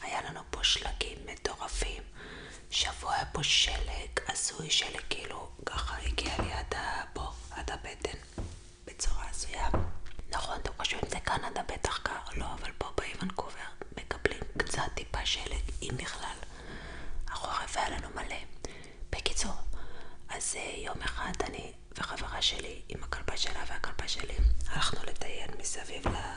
היה לנו פה שלגים מטורפים, שבוע היה פה שלג, עשוי שלג כאילו ככה הגיע לי עד פה, עד הבטן, בצורה הזויה. נכון, אתם חושבים זה קנדה בטח קר, לא, אבל פה באיוונקובר מקבלים קצת טיפה שלג, אם בכלל. החורף היה לנו מלא. בקיצור, אז אה, יום אחד אני וחברה שלי עם הכלבה שלה והכלבה שלי הלכנו לטייל מסביב ל...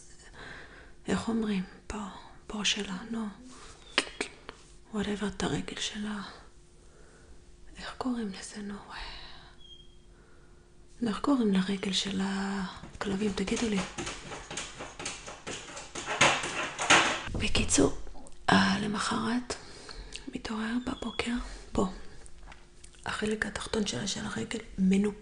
איך אומרים? פה, פה שלה, נו. וואטאבר את הרגל שלה. איך קוראים לזה, נו? נו, איך קוראים לרגל של הכלבים? תגידו לי. בקיצור, אה, למחרת מתעורר בבוקר, פה, החלק התחתון שלה של הרגל מנופ...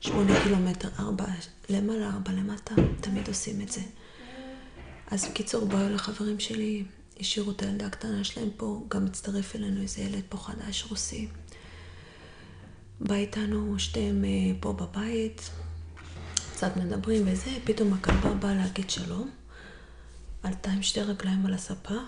שמונה קילומטר, ארבע, למעלה, ארבע, למטה, תמיד עושים את זה. אז בקיצור, באו לחברים שלי, השאירו את הילדה הקטנה שלהם פה, גם הצטרף אלינו איזה ילד פה חדש רוסי. בא איתנו שתיהם אה, פה בבית, קצת מדברים וזה, פתאום הכלבה באה להגיד שלום, עלתה עם שתי רגליים על הספה,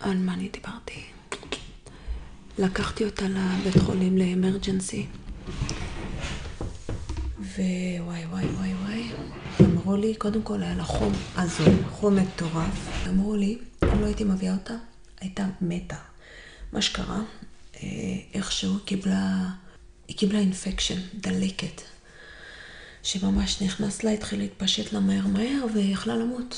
על מה אני דיברתי? לקחתי אותה לבית חולים לאמרג'נסי. ווואי וואי וואי וואי, אמרו לי, קודם כל היה לה חום הזוי, חום מטורף. אמרו לי, אם לא הייתי מביאה אותה, הייתה מתה. מה שקרה, אה, איכשהו קיבלה, היא קיבלה אינפקשן, דלקת, שממש נכנס לה, התחיל להתפשט לה מהר מהר, והיא יכלה למות.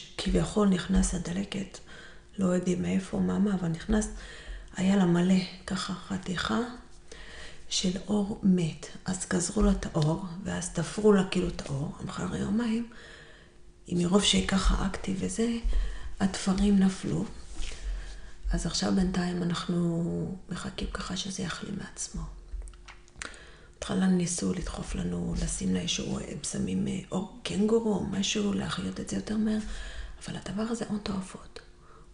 שכביכול נכנס הדלקת, לא יודעים מאיפה, מה, מה, אבל נכנס, היה לה מלא ככה חתיכה של אור מת. אז גזרו לה את האור, ואז תפרו לה כאילו את האור, אחרי יומיים, מרוב שככה אקטי וזה, התפרים נפלו. אז עכשיו בינתיים אנחנו מחכים ככה שזה יחלים מעצמו. בהתחלה ניסו לדחוף לנו, לשים לה איזשהו אה, בשמים אה, או קנגורו או משהו, להחיות את זה יותר מהר, אבל הדבר הזה הון תועפות.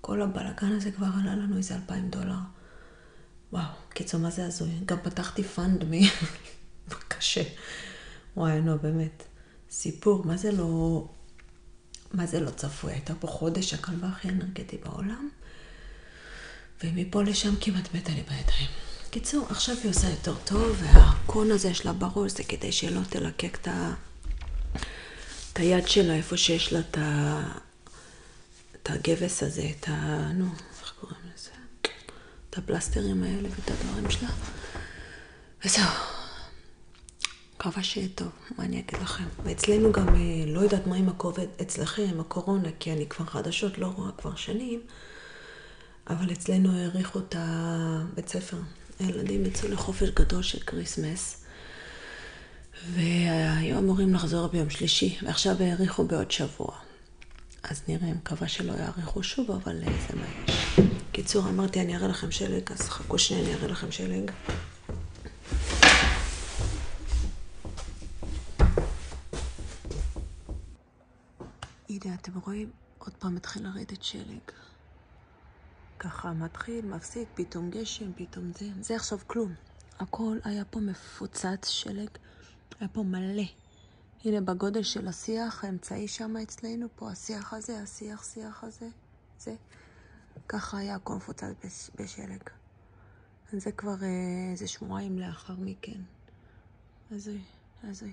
כל הבלאגן הזה כבר עלה לנו איזה אלפיים דולר. וואו, קיצור, מה זה הזוי? גם פתחתי פאנד מ... קשה. וואי, לא, באמת. סיפור, מה זה לא... מה זה לא צפוי? הייתה פה חודש הכלבה הכי אנרגטי בעולם. ומפה לשם כמעט מתה לי בידיים. קיצור, עכשיו היא עושה יותר טוב, והקון הזה שלה בראש זה כדי שלא תלקק את ה... את היד שלה, איפה שיש לה את ה... את הגבס הזה, את ה... נו, איך קוראים לזה? את הפלסטרים האלה ואת הדברים שלה. וזהו. מקווה שיהיה טוב, מה אני אגיד לכם. ואצלנו גם, אה, לא יודעת מה עם הכובד אצלכם, הקורונה, כי אני כבר חדשות לא רואה כבר שנים, אבל אצלנו העריכו את הבית ספר. הילדים יצאו לחופש גדול של כריסמס, והיו אמורים לחזור ביום שלישי, ועכשיו העריכו בעוד שבוע. אז נראה, מקווה שלא יעריכו שוב, אבל אה, זה מה יש. קיצור, אמרתי, אני אראה לכם שלג, אז חכו שנייה, אני אראה לכם שלג. הנה, אתם רואים? עוד פעם מתחיל לרדת שלג. ככה מתחיל, מפסיק, פתאום גשם, פתאום זה. זה עכשיו כלום. הכל היה פה מפוצץ שלג, היה פה מלא. הנה, בגודל של השיח האמצעי שם אצלנו, פה השיח הזה, השיח, שיח הזה, זה. ככה היה הכל מפוצץ בשלג. זה כבר אה, איזה שבועיים לאחר מכן. אז... אז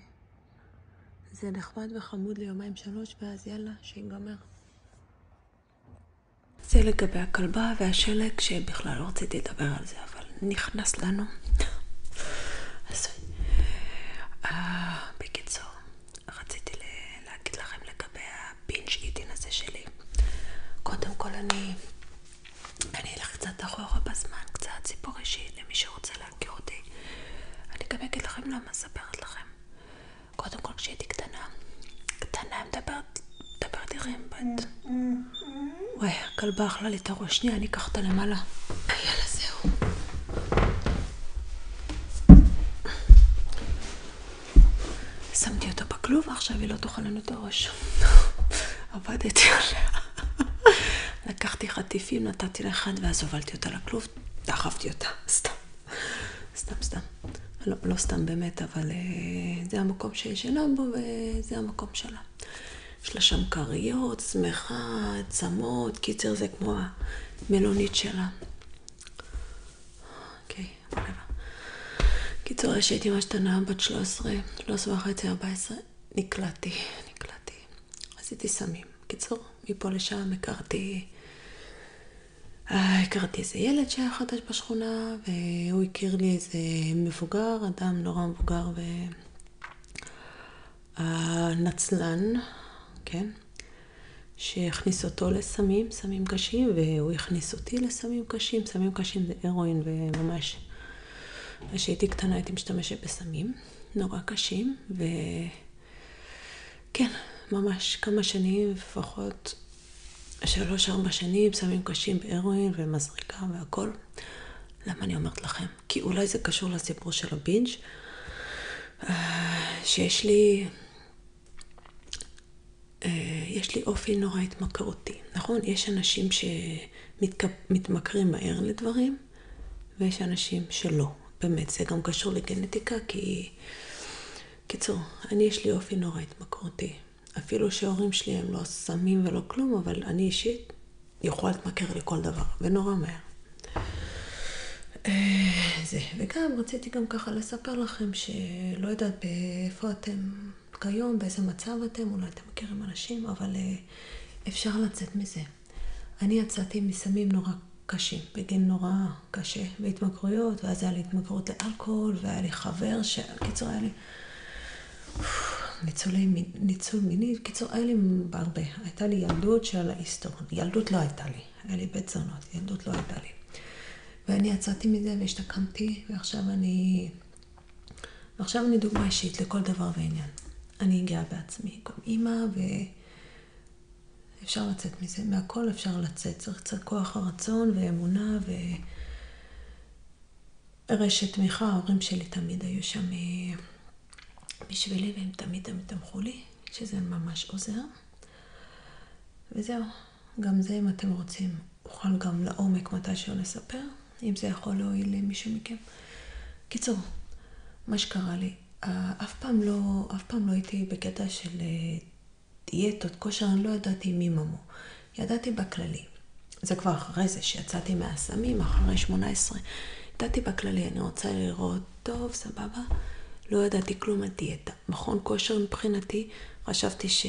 זה נחמד וחמוד ליומיים שלוש, ואז יאללה, שיגמר. זה לגבי הכלבה והשלג, שבכלל לא רציתי לדבר על זה, אבל נכנס לנו. אז uh, בקיצור, רציתי להגיד לכם לגבי הבינג' אני אני אלך קצת אחורה בזמן, קצת סיפור אישי למי שרוצה להכיר אותי. אני גם אגיד לכם למה אספרת לכם. קודם כל כשהייתי קטנה, קטנה מדברת, מדברת עירים בת. וואי, הכלבה אכלה לי את הראש. שנייה, אני אקח אותה למעלה. יאללה, זהו. שמתי אותה בכלוב, עכשיו היא לא תאכל את הראש. עבדתי עליה. לקחתי חטיפים, נתתי לאחד ואז הובלתי אותה לכלוב, דחפתי אותה, סתם. סתם, סתם. לא, לא סתם באמת, אבל אה, זה המקום שהיא ישנה בו וזה המקום שלה. יש לה שם כריות, שמחה, צמות, קיצר זה כמו המלונית שלה. אוקיי, okay, קיצור, כשהייתי ממש קטנה, בת 13, 13 וחצי, 14, נקלעתי, נקלעתי. עשיתי סמים. קיצור, מפה לשם הכרתי... אה, הכרתי איזה ילד שהיה חדש בשכונה, והוא הכיר לי איזה מבוגר, אדם נורא מבוגר ונצלן, אה, כן? שהכניס אותו לסמים, סמים קשים, והוא הכניס אותי לסמים קשים. סמים קשים זה הרואין וממש כשהייתי קטנה הייתי משתמשת בסמים נורא קשים, וכן, ממש כמה שנים, לפחות שלוש-ארבע שנים, סמים קשים בהרואין ומזריקה והכל. למה אני אומרת לכם? כי אולי זה קשור לסיפור של הבינג' אה, שיש לי... אה, יש לי אופי נורא התמכרותי, נכון? יש אנשים ש... שמתמכרים מהר לדברים, ויש אנשים שלא. באמת, זה גם קשור לגנטיקה, כי... קיצור, אני יש לי אופי נורא התמכרותי. אפילו שההורים שלי הם לא סמים ולא כלום, אבל אני אישית יכולה להתמכר לכל דבר, ונורא מהר. אה, זה. וגם רציתי גם ככה לספר לכם שלא יודעת איפה אתם כיום, באיזה מצב אתם, אולי אתם מכירים אנשים, אבל אה, אפשר לצאת מזה. אני יצאתי מסמים נורא קשים, בגיל נורא קשה, והתמכרויות, ואז היה לי התמכרות לאלכוהול, והיה לי חבר ש... קיצור, היה לי... ניצולי, ניצול מיני, קיצור, היה לי הרבה. הייתה לי ילדות שעל ההיסטורון. ילדות לא הייתה לי, היה לי בית זונות, ילדות לא הייתה לי. ואני יצאתי מזה והשתקמתי, ועכשיו אני עכשיו אני דוגמה אישית לכל דבר ועניין. אני גאה בעצמי, גם אימא, ואפשר לצאת מזה. מהכל אפשר לצאת. צריך קצת כוח הרצון ואמונה ו... רשת תמיכה, ההורים שלי תמיד היו שם אה, בשבילי, והם תמיד תמיד תמכו לי, שזה ממש עוזר. וזהו, גם זה אם אתם רוצים נוכל גם לעומק מתישהו לספר, אם זה יכול להועיל למישהו מכם. קיצור, מה שקרה לי, אה, אף פעם לא, אף פעם לא הייתי בקטע של אה, דיאטות, כושר, אני לא ידעתי מי ממו. ידעתי בכללי. זה כבר אחרי זה שיצאתי מהסמים, אחרי 18. ידעתי בכללי, אני רוצה לראות טוב, סבבה. לא ידעתי כלום על דיאטה. מכון כושר מבחינתי, חשבתי ש...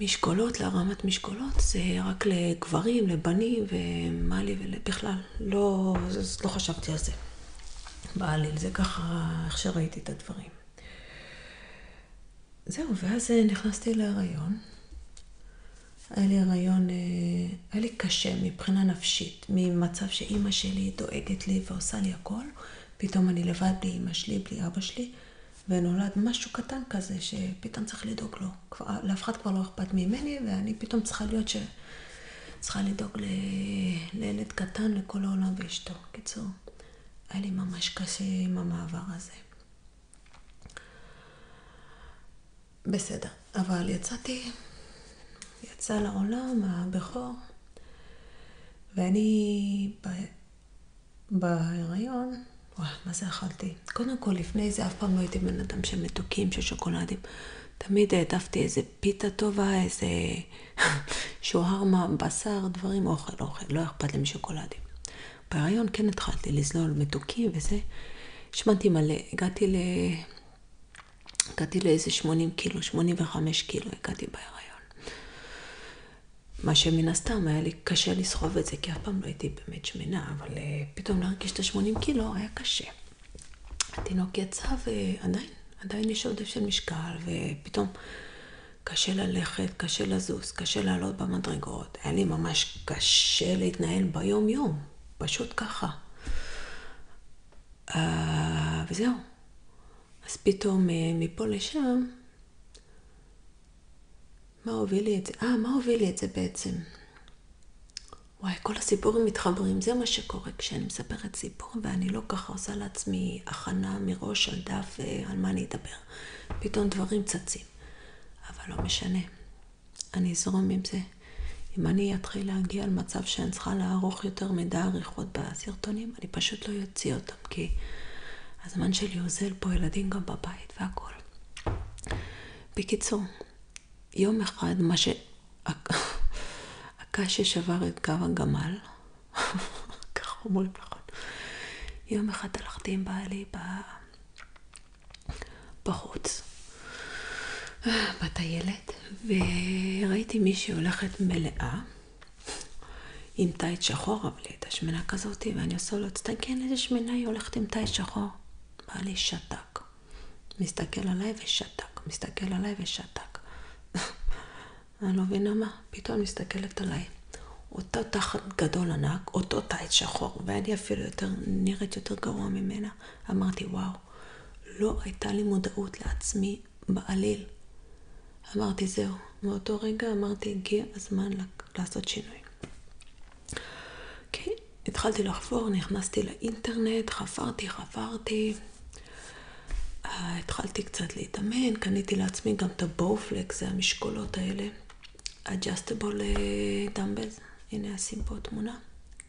משקולות, להרמת משקולות, זה רק לגברים, לבנים ומה לי ובכלל, לא, לא חשבתי על זה בעליל, זה ככה איך שראיתי את הדברים. זהו, ואז אה, נכנסתי להיריון. היה לי הריון, אה, היה לי קשה מבחינה נפשית, ממצב שאימא שלי דואגת לי ועושה לי הכל, פתאום אני לבד בלי אימא שלי, בלי אבא שלי, ונולד משהו קטן כזה שפתאום צריך לדאוג לו. כבר, לאף אחד כבר לא אכפת ממני, ואני פתאום צריכה להיות ש... צריכה לדאוג ל... לילד קטן, לכל העולם ואשתו. קיצור, היה לי ממש קשה עם המעבר הזה. בסדר, אבל יצאתי, יצא לעולם הבכור, ואני בהיריון, וואו, מה זה אכלתי? קודם כל, לפני זה אף פעם לא הייתי בן אדם של מתוקים, של שוקולדים. תמיד העדפתי איזה פיתה טובה, איזה שוהרמה, בשר, דברים, אוכל, אוכל, לא אכפת לי משוקולדים. בהיריון כן התחלתי לזלול מתוקים וזה. השמנתי מלא, הגעתי ל... הגעתי לאיזה 80 קילו, 85 קילו הגעתי בהיריון. מה שמן הסתם היה לי קשה לסחוב את זה, כי אף פעם לא הייתי באמת שמנה, אבל אה, פתאום להרגיש את ה-80 קילו היה קשה. התינוק יצא ועדיין, עדיין יש עודף של משקל, ופתאום קשה ללכת, קשה לזוז, קשה לעלות במדרגות. היה לי ממש קשה להתנהל ביום-יום, פשוט ככה. Uh, וזהו. אז פתאום uh, מפה לשם מה הוביל לי את זה? אה, מה הוביל לי את זה בעצם? וואי, כל הסיפורים מתחברים, זה מה שקורה כשאני מספרת סיפור, ואני לא ככה עושה לעצמי הכנה מראש על דף אה, על מה אני אדבר. פתאום דברים צצים. אבל לא משנה, אני אזרום עם זה. אם אני אתחיל להגיע למצב שאני צריכה לערוך יותר מדי עריכות בסרטונים, אני פשוט לא אוציא אותם. אותם, כי הזמן שלי עוזר פה ילדים גם בבית והכל. בקיצור, יום אחד מה ש... הקש ששבר את גב הגמל, ככה אומרים נכון, יום אחד הלכתי עם בעלי ב... בחוץ, בטיילת, וראיתי מישהי הולכת מלאה עם טייט שחור, אבל היא הייתה שמנה כזאת, ואני עושה לו, תסתכל איזה שמנה היא הולכת עם טייט שחור. בא לי שתק. מסתכל עליי ושתק, מסתכל עליי ושתק. אני לא מבינה מה, פתאום מסתכלת עליי. אותו תחת גדול ענק, אותו טייט שחור, ואני אפילו יותר, נראית יותר גרוע ממנה. אמרתי, וואו, לא הייתה לי מודעות לעצמי בעליל. אמרתי, זהו. מאותו רגע אמרתי, הגיע הזמן לעשות שינוי. אוקיי, כן, okay. התחלתי לחפור, נכנסתי לאינטרנט, חפרתי, חפרתי. אה, התחלתי קצת להתאמן, קניתי לעצמי גם את הבואופלק, זה המשקולות האלה. adjustable אה, dumbbells, הנה אשים פה תמונה,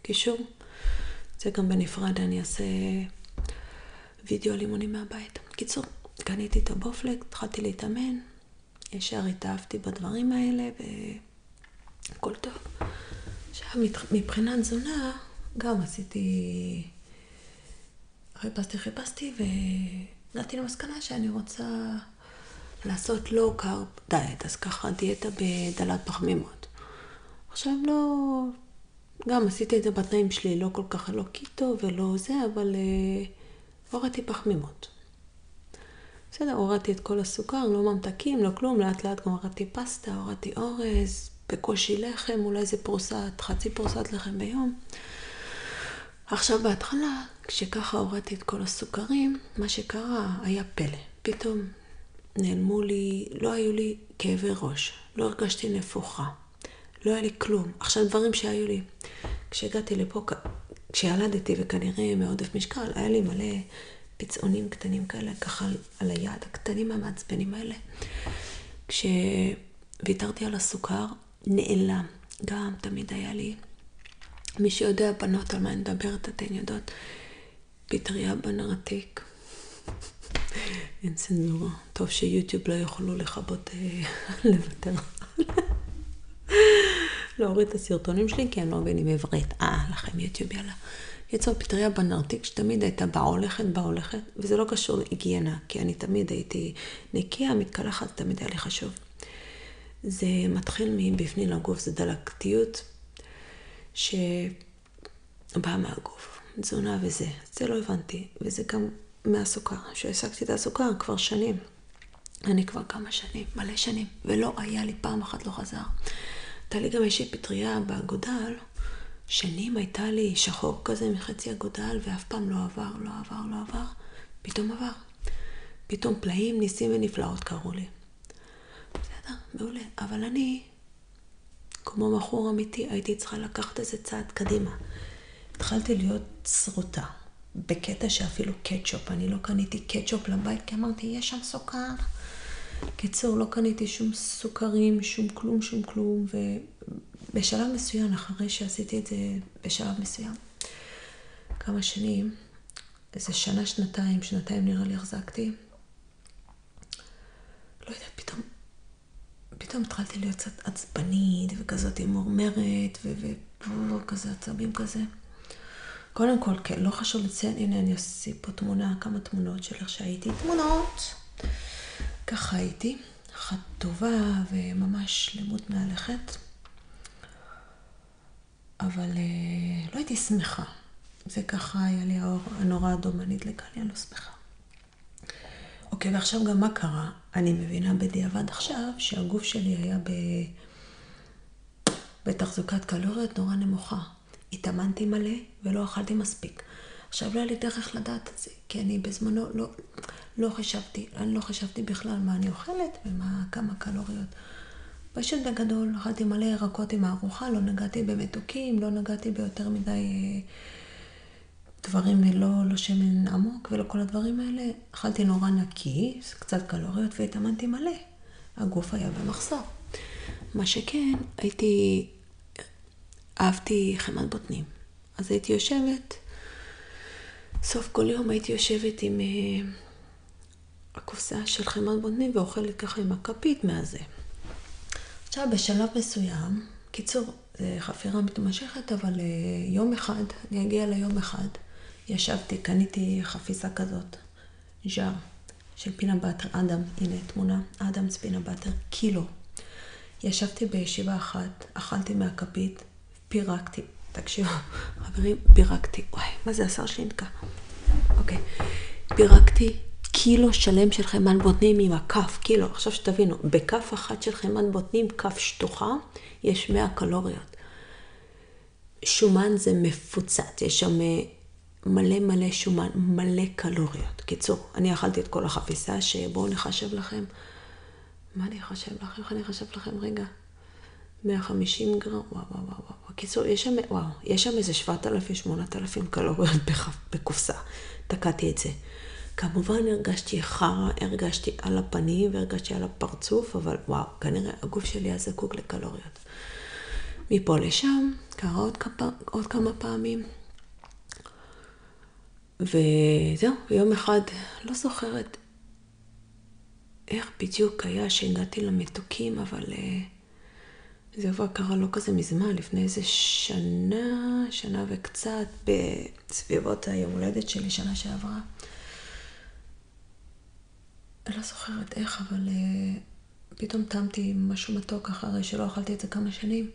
קישור. זה גם בנפרד, אני אעשה וידאו לימונים מהבית. קיצור, קניתי את הבופלק, התחלתי להתאמן, ישר התאהבתי בדברים האלה, והכל טוב. עכשיו, מבחינת תזונה, גם עשיתי... חיפשתי, חיפשתי, והגעתי למסקנה שאני רוצה לעשות לואו-קארב דיאט, אז ככה דיאטה בדלת פחמימות. עכשיו לא... גם עשיתי את זה בתנאים שלי, לא כל כך, לא קיטו ולא זה, אבל... אה, הורדתי פחמימות. בסדר, הורדתי את כל הסוכר, לא ממתקים, לא כלום, לאט לאט גם הורדתי פסטה, הורדתי אורז, בקושי לחם, אולי איזה פרוסת, חצי פרוסת לחם ביום. עכשיו בהתחלה, כשככה הורדתי את כל הסוכרים, מה שקרה היה פלא. פתאום נעלמו לי, לא היו לי כאבי ראש, לא הרגשתי נפוחה. לא היה לי כלום. עכשיו דברים שהיו לי. כשהגעתי לפה, כשילדתי וכנראה מעודף משקל, היה לי מלא פצעונים קטנים כאלה, ככה על היד, הקטנים המעצבנים האלה. כשוויתרתי על הסוכר, נעלם. גם תמיד היה לי, מי שיודע בנות על מה אני מדברת, אתן יודעות, פטריה בנרתיק. אין צנזורה. טוב שיוטיוב לא יוכלו לחבר. לרבות אה, לוותר. להוריד את הסרטונים שלי, כי אני לא מבינים עברית. אה, לכם יוטיוב, יאללה. יצאו פטריה בנרתיק שתמיד הייתה בהולכת, בהולכת, וזה לא קשור להיגיינה, כי אני תמיד הייתי נקייה, מתקלחת, תמיד היה לי חשוב. זה מתחיל מבפנים לגוף, זה דלקתיות שבאה מהגוף, תזונה וזה. זה לא הבנתי, וזה גם מהסוכר, שהשגתי את הסוכר כבר שנים. אני כבר כמה שנים, מלא שנים, ולא היה לי פעם אחת לא חזר. הייתה לי גם איזושהי פטריה באגודל, שנים הייתה לי שחור כזה מחצי אגודל, ואף פעם לא עבר, לא עבר, לא עבר. פתאום עבר. פתאום פלאים, ניסים ונפלאות קראו לי. בסדר, מעולה. אבל אני, כמו מכור אמיתי, הייתי צריכה לקחת איזה צעד קדימה. התחלתי להיות שרוטה, בקטע שאפילו קטשופ, אני לא קניתי קטשופ לבית כי אמרתי, יש שם סוכר. קיצור, לא קניתי שום סוכרים, שום כלום, שום כלום, ובשלב מסוים, אחרי שעשיתי את זה בשלב מסוים, כמה שנים, איזה שנה, שנתיים, שנתיים נראה לי החזקתי, לא יודעת, פתאום פתאום התחלתי להיות קצת עצבנית וכזאת מורמרת וכזה עצבים כזה. קודם כל, כן, לא חשוב לציין, הנה אני אוסיף פה תמונה, כמה תמונות של איך שהייתי. תמונות! ככה הייתי, אחת טובה וממש שלמות מהלכת. אבל אה, לא הייתי שמחה. זה ככה היה לי האור הנורא אדום, אני לא שמחה. אוקיי, ועכשיו גם מה קרה? אני מבינה בדיעבד עכשיו שהגוף שלי היה ב... בתחזוקת קלוריות נורא נמוכה. התאמנתי מלא ולא אכלתי מספיק. עכשיו לא היה לי דרך לדעת את זה, כי אני בזמנו לא, לא חשבתי, אני לא חשבתי בכלל מה אני אוכלת ומה, כמה קלוריות. פשוט בגדול, אכלתי מלא ירקות עם הארוחה, לא נגעתי במתוקים, לא נגעתי ביותר מדי אה, דברים ללא לא שמן עמוק ולא כל הדברים האלה. אכלתי נורא נקי, קצת קלוריות, והתאמנתי מלא. הגוף היה במחסור. מה שכן, הייתי, אהבתי חמת בוטנים. אז הייתי יושבת, סוף כל יום הייתי יושבת עם אה, הקופסה של חמת בוטנים ואוכלת ככה עם הכפית מהזה. עכשיו, בשלב מסוים, קיצור, זה אה, חפירה מתמשכת, אבל אה, יום אחד, אני אגיע ליום אחד, ישבתי, קניתי חפיסה כזאת, ז'אר, של פינה באטר, אדם, הנה תמונה, אדמס פינה באטר, קילו. ישבתי בישיבה אחת, אכלתי מהכפית, פירקתי. תקשיבו, חברים, פירקתי. וואי, מה זה השר שלי נתקע? אוקיי. פירקתי קילו שלם של חמאה בוטנים עם הכף, קילו. עכשיו שתבינו, בכף אחת של חמאה בוטנים, כף שטוחה, יש 100 קלוריות. שומן זה מפוצץ, יש שם אה, מלא מלא שומן, מלא קלוריות. קיצור, אני אכלתי את כל החפיסה, שבואו נחשב לכם. מה אני אחשב לכם? איך אני אחשב לכם? רגע. 150 גרם, וואו, וואו, וואו, וואו. קיצור, יש שם, וואו, יש שם איזה 7,000-8,000 קלוריות בקופסה. תקעתי את זה. כמובן הרגשתי חרא, הרגשתי על הפנים והרגשתי על הפרצוף, אבל וואו, כנראה הגוף שלי היה זקוק לקלוריות. מפה לשם, קרה עוד כמה, עוד כמה פעמים. וזהו, יום אחד, לא זוכרת איך בדיוק היה שהגעתי למתוקים, אבל אה, זה כבר קרה לא כזה מזמן, לפני איזה שנה, שנה וקצת, ב- בסביבות היום הולדת שלי שנה שעברה. אני לא זוכרת איך, אבל uh, פתאום טעמתי משהו מתוק אחרי שלא אכלתי את זה כמה שנים.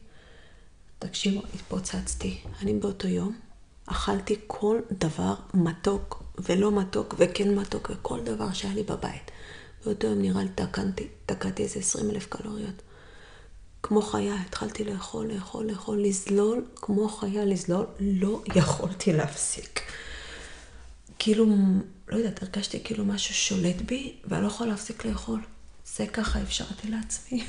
תקשיבו, התפוצצתי. אני באותו יום אכלתי כל דבר מתוק ולא מתוק וכן מתוק וכל דבר שהיה לי בבית. באותו יום נראה לי תקנתי, תקעתי איזה 20 אלף קלוריות. כמו חיה התחלתי לאכול, לאכול, לאכול, לזלול, כמו חיה לזלול, לא יכולתי להפסיק. כאילו, לא יודעת, הרגשתי כאילו משהו שולט בי, ואני לא יכולה להפסיק לאכול. זה ככה אפשרתי לעצמי.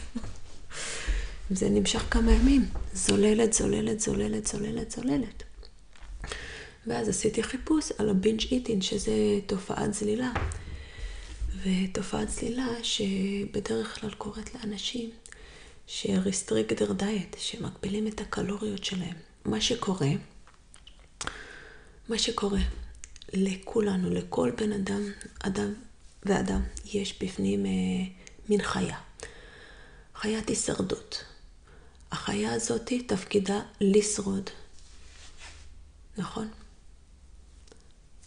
זה נמשך כמה ימים, זוללת, זוללת, זוללת, זוללת, זוללת. ואז עשיתי חיפוש על הבינג' איטין, שזה תופעת זלילה. ותופעת צלילה שבדרך כלל קורית לאנשים שריסטריקטר דיאט, שמגבילים את הקלוריות שלהם. מה שקורה, מה שקורה לכולנו, לכל בן אדם, אדם ואדם, יש בפנים אה, מין חיה. חיית הישרדות. החיה הזאת תפקידה לשרוד, נכון?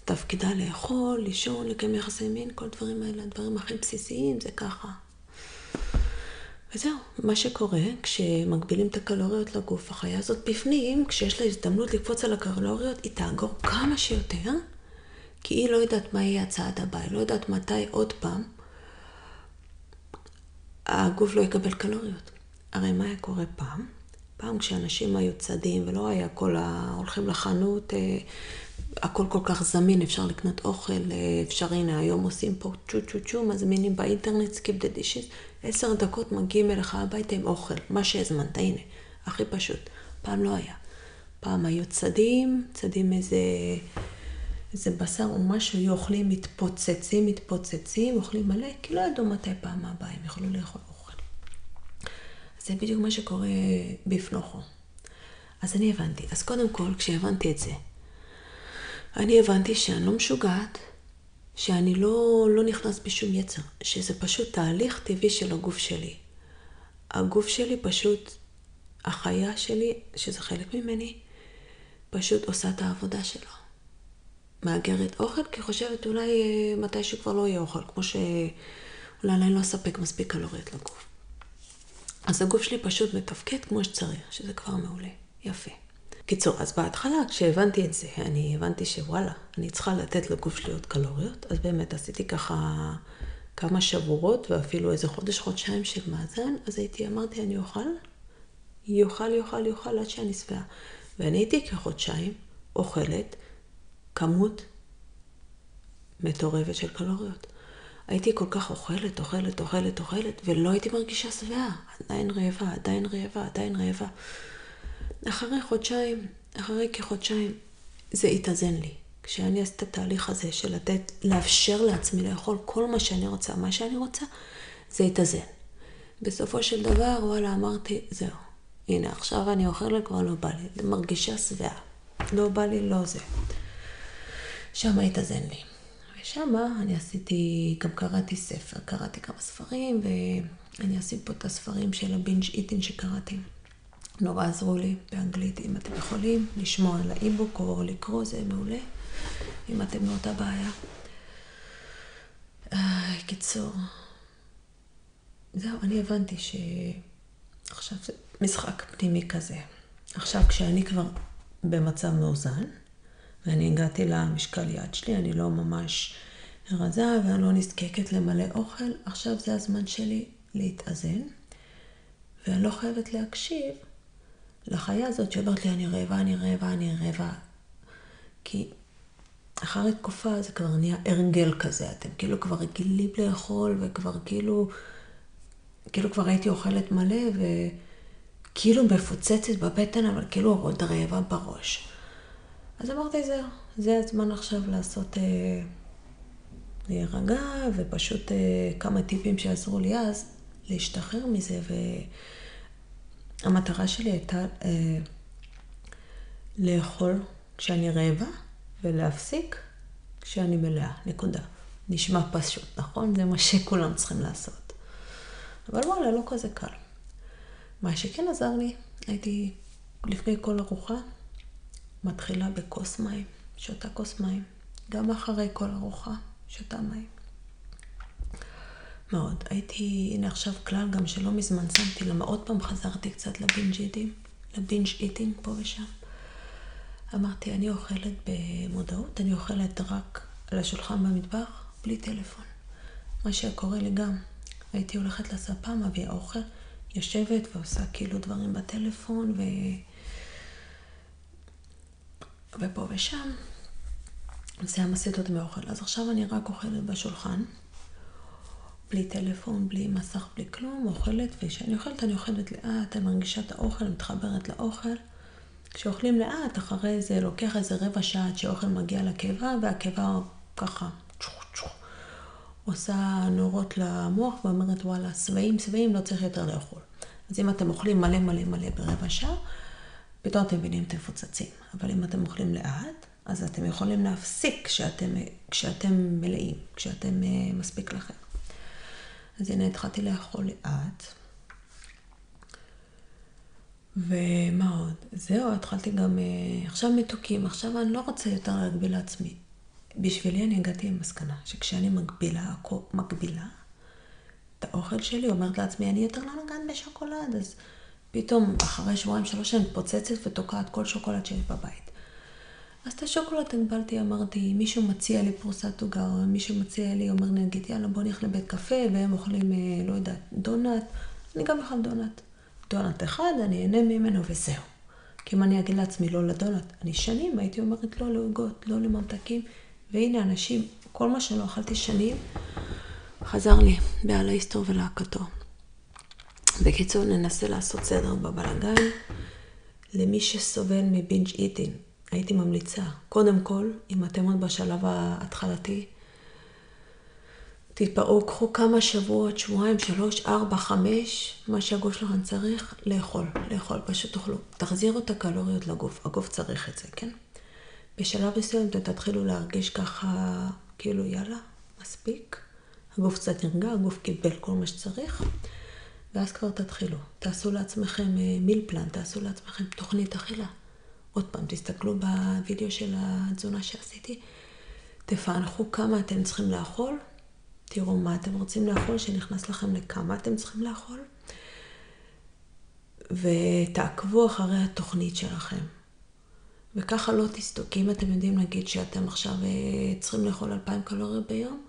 תפקידה לאכול, לישון, לקיים יחסי מין, כל הדברים האלה, הדברים הכי בסיסיים, זה ככה. וזהו, מה שקורה כשמגבילים את הקלוריות לגוף, החיה הזאת בפנים, כשיש לה הזדמנות לקפוץ על הקלוריות, היא תאגור כמה שיותר, כי היא לא יודעת מה יהיה הצעד הבא, היא לא יודעת מתי עוד פעם הגוף לא יקבל קלוריות. הרי מה היה קורה פעם? פעם כשאנשים היו צדים ולא היה כל ה... הולכים לחנות, אה, הכל כל כך זמין, אפשר לקנות אוכל, אה, אפשר, הנה, היום עושים פה צ'ו צ'ו צ'ו, מזמינים באינטרנט, סקיפ דה דישיס, עשר דקות מגיעים אליך הביתה עם אוכל, מה שהזמנת, הנה, הכי פשוט. פעם לא היה. פעם היו צדים, צדים איזה... איזה בשר או משהו, היו אוכלים, מתפוצצים, מתפוצצים, אוכלים מלא, כי לא ידעו מתי פעם הבאה הם יכולו ברור. זה בדיוק מה שקורה בפנוכו. אז אני הבנתי. אז קודם כל, כשהבנתי את זה, אני הבנתי שאני לא משוגעת, שאני לא, לא נכנס בשום יצר, שזה פשוט תהליך טבעי של הגוף שלי. הגוף שלי פשוט, החיה שלי, שזה חלק ממני, פשוט עושה את העבודה שלו. מאגרת אוכל, כי חושבת אולי אה, מתישהו כבר לא יהיה אוכל, כמו ש... אולי עדיין לא אספק מספיק קלוריות לגוף. אז הגוף שלי פשוט מתפקד כמו שצריך, שזה כבר מעולה. יפה. קיצור, אז בהתחלה כשהבנתי את זה, אני הבנתי שוואלה, אני צריכה לתת לגוף שלי עוד קלוריות, אז באמת עשיתי ככה כמה שבועות ואפילו איזה חודש, חודשיים של מאזן, אז הייתי, אמרתי, אני אוכל, יאכל, יאכל, יאכל עד שאני שבעה. ואני הייתי כחודשיים אוכלת כמות מטורפת של קלוריות. הייתי כל כך אוכלת, אוכלת, אוכלת, אוכלת, ולא הייתי מרגישה שבעה. עדיין רעבה, עדיין רעבה, עדיין רעבה. אחרי חודשיים, אחרי כחודשיים, זה התאזן לי. כשאני עשיתי את התהליך הזה של לתת, לאפשר לעצמי לאכול כל מה שאני רוצה, מה שאני רוצה, זה התאזן. בסופו של דבר, וואלה, אמרתי, זהו. הנה, עכשיו אני אוכלת, כבר לא בא לי. מרגישה שבעה. לא בא לי, לא זה. שם התאזן לי. ושם אני עשיתי, גם קראתי ספר, קראתי כמה ספרים, ואני אשים פה את הספרים של הבינג' איטין שקראתי. נורא עזרו לי באנגלית, אם אתם יכולים, לשמוע על האיבוק או לקרוא, זה מעולה, אם אתם באותה לא בעיה. אה, קיצור, זהו, אני הבנתי שעכשיו זה משחק פנימי כזה. עכשיו, כשאני כבר במצב מאוזן, ואני הגעתי למשקל יד שלי, אני לא ממש רזה ואני לא נזקקת למלא אוכל, עכשיו זה הזמן שלי להתאזן, ואני לא חייבת להקשיב לחיה הזאת שאומרת לי, אני רעבה, אני רעבה, אני רעבה. כי אחרי תקופה זה כבר נהיה הרגל כזה, אתם כאילו כבר רגילים לאכול וכבר כאילו, כאילו כבר הייתי אוכלת מלא וכאילו מפוצצת בבטן, אבל כאילו עוד רעבה בראש. אז אמרתי, זהו, זה הזמן עכשיו לעשות, אה, להירגע, ופשוט אה, כמה טיפים שעזרו לי אז להשתחרר מזה, והמטרה שלי הייתה אה, לאכול כשאני רעבה, ולהפסיק כשאני מלאה, נקודה. נשמע פשוט, נכון? זה מה שכולם צריכים לעשות. אבל וואלה, לא כזה קל. מה שכן עזר לי, הייתי לפני כל ארוחה, מתחילה בכוס מים, שותה כוס מים. גם אחרי כל ארוחה, שותה מים. מאוד. הייתי, הנה עכשיו כלל גם שלא מזמן שמתי, למה עוד פעם חזרתי נכנסתי קצת לבינג' איטינג פה ושם. אמרתי, אני אוכלת במודעות, אני אוכלת רק על השולחן במטבח, בלי טלפון. מה שהיה קורה לי גם, הייתי הולכת לספה, מביאה אוכל, יושבת ועושה כאילו דברים בטלפון, ו... ופה ושם. זה היה מסיט אותי אז עכשיו אני רק אוכלת בשולחן. בלי טלפון, בלי מסך, בלי כלום, אוכלת, וכשאני אוכלת אני אוכלת לאט, אני מרגישה את האוכל, מתחברת לאוכל. כשאוכלים לאט, אחרי זה לוקח איזה רבע שעה עד שהאוכל מגיע לקיבה, והקיבה ככה עושה נורות למוח ואומרת וואלה, שבעים שבעים, לא צריך יותר לאכול. אז אם אתם אוכלים מלא מלא מלא ברבע שעה, פתאום אתם מבינים אתם מפוצצים. אבל אם אתם אוכלים לאט, אז אתם יכולים להפסיק כשאתם, כשאתם מלאים, כשאתם uh, מספיק לכם. אז הנה התחלתי לאכול לאט. ומה עוד? זהו, התחלתי גם... Uh, עכשיו מתוקים, עכשיו אני לא רוצה יותר להגביל לעצמי. בשבילי אני הגעתי למסקנה שכשאני מגבילה, מגבילה את האוכל שלי, אומרת לעצמי, אני יותר לא נוגעת בשוקולד, אז פתאום אחרי שבועיים שלוש אני מתפוצצת ותוקעת כל שוקולד שיש בבית. אז את השוקולד הגבלתי, אמרתי, מישהו מציע לי פרוסת עוגה, או מישהו מציע לי, אומר נגיד, יאללה בוא נלך לבית קפה, והם אוכלים, אה, לא יודעת, דונלד, אני גם אוכל דונלד. דונלד אחד, אני אהנה ממנו וזהו. כי אם אני אגיד לעצמי לא לדונלד, אני שנים הייתי אומרת לא לעוגות, לא לממתקים, והנה אנשים, כל מה שלא אכלתי שנים, חזר לי בעל ההיסטור ולהקתו. בקיצור, ננסה לעשות סדר בבלאגן. למי שסובל מבינג' איטינג, הייתי ממליצה, קודם כל, אם אתם עוד בשלב ההתחלתי, תתפרעו, קחו כמה שבועות, שבועיים, שלוש, ארבע, חמש, מה שהגוף שלכם צריך, לאכול, לאכול, פשוט תאכלו. תחזירו את הקלוריות לגוף, הגוף צריך את זה, כן? בשלב מסוים אתם תתחילו להרגיש ככה, כאילו יאללה, מספיק, הגוף קצת נרגע, הגוף קיבל כל מה שצריך, ואז כבר תתחילו. תעשו לעצמכם מיל אה, פלן, תעשו לעצמכם תוכנית אכילה. עוד פעם, תסתכלו בווידאו של התזונה שעשיתי, תפענחו כמה אתם צריכים לאכול, תראו מה אתם רוצים לאכול, שנכנס לכם לכמה אתם צריכים לאכול, ותעקבו אחרי התוכנית שלכם. וככה לא תסתוק. כי אם אתם יודעים להגיד שאתם עכשיו אה, צריכים לאכול 2,000 קלוריות ביום,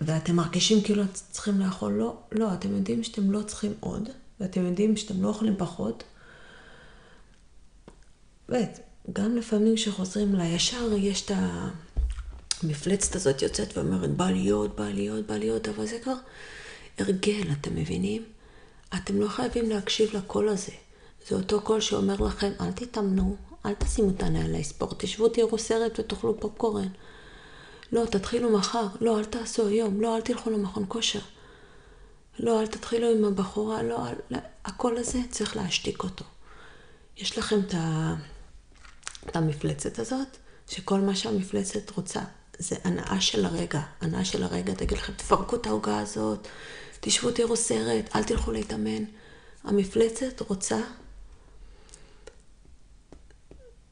ואתם מרגישים כאילו אתם צריכים לאכול, לא, לא, אתם יודעים שאתם לא צריכים עוד, ואתם יודעים שאתם לא אוכלים פחות. באמת, גם לפעמים כשחוזרים לישר, יש את המפלצת הזאת יוצאת ואומרת, בא להיות, בא להיות, בא להיות, אבל זה כבר הרגל, אתם מבינים? אתם לא חייבים להקשיב לקול הזה. זה אותו קול שאומר לכם, אל תתאמנו, אל תשימו את הנעלי ספורט, תשבו, תראו סרט ותאכלו פופקורן. לא, תתחילו מחר. לא, אל תעשו היום. לא, אל תלכו למכון כושר. לא, אל תתחילו עם הבחורה. לא, אל... לא, הקול הזה, צריך להשתיק אותו. יש לכם את, ה... את המפלצת הזאת, שכל מה שהמפלצת רוצה זה הנאה של הרגע. הנאה של הרגע, תגיד לכם, תפרקו את העוגה הזאת, תשבו, תראו סרט, אל תלכו להתאמן. המפלצת רוצה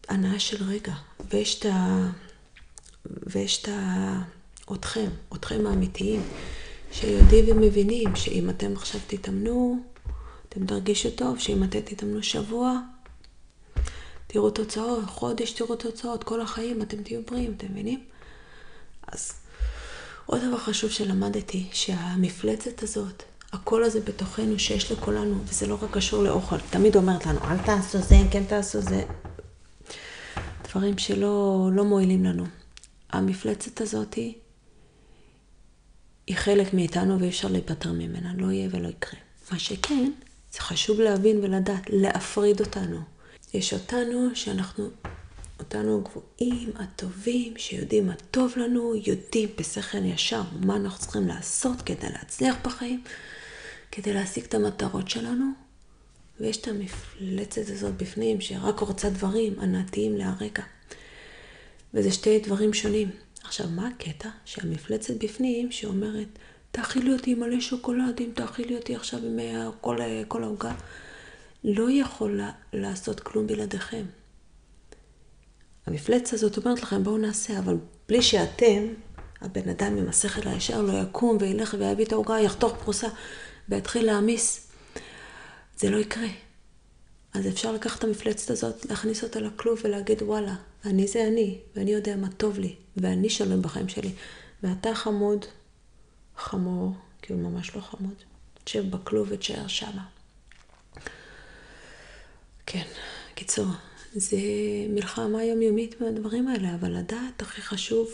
הנאה של רגע, ויש את ה... ויש את ה... אתכם, אתכם האמיתיים, שיודעים ומבינים שאם אתם עכשיו תתאמנו, אתם תרגישו טוב, שאם אתם תתאמנו שבוע, תראו תוצאות, חודש תראו תוצאות, כל החיים אתם תהיו בריאים, אתם מבינים? אז עוד דבר חשוב שלמדתי, שהמפלצת הזאת, הקול הזה בתוכנו שיש לכולנו, וזה לא רק קשור לאוכל, תמיד אומרת לנו, אל תעשו זה, כן תעשו זה, דברים שלא לא מועילים לנו. המפלצת הזאת היא חלק מאיתנו ואי אפשר להיפטר ממנה, לא יהיה ולא יקרה. מה שכן, זה חשוב להבין ולדעת, להפריד אותנו. יש אותנו שאנחנו, אותנו הגבוהים, הטובים, שיודעים מה טוב לנו, יודעים בשכל ישר מה אנחנו צריכים לעשות כדי להצליח בחיים, כדי להשיג את המטרות שלנו. ויש את המפלצת הזאת בפנים, שרק רוצה דברים ענתיים להרקע. וזה שתי דברים שונים. עכשיו, מה הקטע? שהמפלצת בפנים שאומרת, תאכילי אותי מלא שוקולדים, תאכילי אותי עכשיו עם אה, אה, כל, העוגה. לא יכולה לעשות כלום בלעדיכם. המפלצת הזאת אומרת לכם, בואו נעשה, אבל בלי שאתם, הבן אדם עם השכל הישר לא יקום וילך ויביא את העוגה, יחתוך פרוסה ויתחיל להעמיס. זה לא יקרה. אז אפשר לקחת את המפלצת הזאת, להכניס אותה לכלוב ולהגיד, וואלה, אני זה אני, ואני יודע מה טוב לי. ואני שלם בחיים שלי. ואתה חמוד, חמור, כי כאילו הוא ממש לא חמוד. תשב בכלוב ותשאר שמה. כן, קיצור, זה מלחמה יומיומית מהדברים האלה, אבל לדעת הכי חשוב,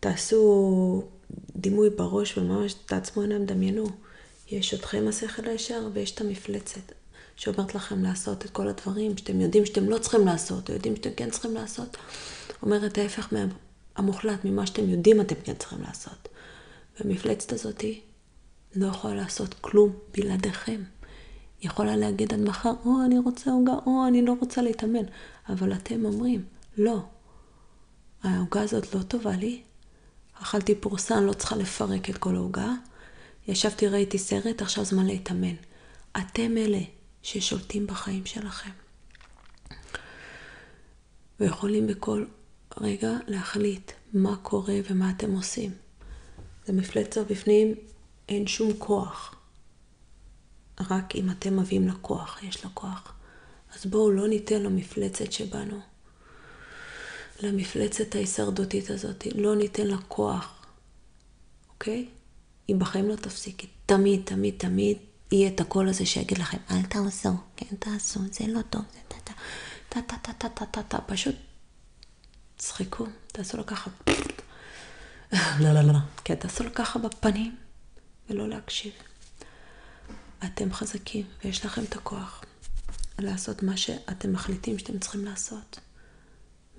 תעשו דימוי בראש וממש תעצמו עיניים, דמיינו. יש אתכם השכל הישר ויש את המפלצת שאומרת לכם לעשות את כל כל הדברים שאתם יודעים שאתם לא צריכים לעשות, או יודעים שאתם כן צריכים לעשות, אומרת ההפך מהם, המוחלט ממה שאתם יודעים אתם כן צריכים לעשות. והמפלצת הזאתי לא יכולה לעשות כלום בלעדיכם. היא יכולה להגיד עד מחר, או, אני רוצה עוגה, או, אני לא רוצה להתאמן. אבל אתם אומרים, לא, העוגה הזאת לא טובה לי. אכלתי פורסן, לא צריכה לפרק את כל העוגה. ישבתי, ראיתי סרט, עכשיו זמן להתאמן. אתם אלה ששולטים בחיים שלכם. ויכולים בכל רגע להחליט מה קורה ומה אתם עושים. זה מפלצת בפנים, אין שום כוח. רק אם אתם מביאים לה כוח, יש לה כוח. אז בואו לא ניתן למפלצת שבנו, למפלצת ההישרדותית הזאת, לא ניתן לה אוקיי? היא בחיים לא תפסיקי. תמיד, תמיד, תמיד יהיה את הקול הזה שיגיד לכם, אל תעשו, כן תעשו, זה לא טוב, זה טה טה טה טה טה טה טה טה, פשוט צחקו, תעשו לו ככה. לא, לא, לא, לא. כן, תעשו לו ככה בפנים ולא להקשיב. אתם חזקים ויש לכם את הכוח לעשות מה שאתם מחליטים שאתם צריכים לעשות.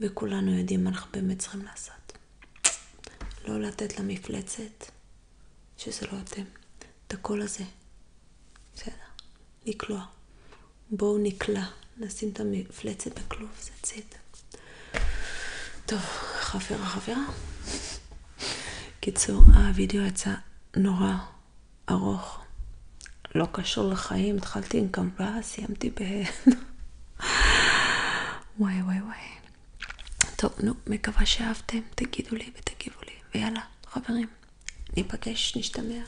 וכולנו יודעים מה אנחנו באמת צריכים לעשות. לא לתת למפלצת שזה לא אתם. את הקול הזה. בסדר. לקלוע. בואו נקלע. נשים את המפלצת בכלוב, זה ציד. טוב, חברה חברה. קיצור, הווידאו יצא נורא ארוך. לא קשור לחיים, התחלתי עם קמבה, סיימתי ב... וואי וואי וואי. טוב, נו, מקווה שאהבתם, תגידו לי ותגיבו לי. ויאללה, חברים, ניפגש, נשתמע,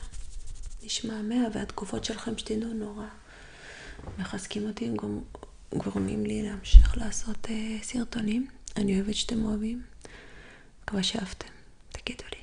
נשמעמע, והתגובות שלכם שתדעו נורא מחזקים אותי, גורמים לי להמשיך לעשות uh, סרטונים. אני אוהבת שאתם אוהבים. מקווה שאהבתם, תגידו לי.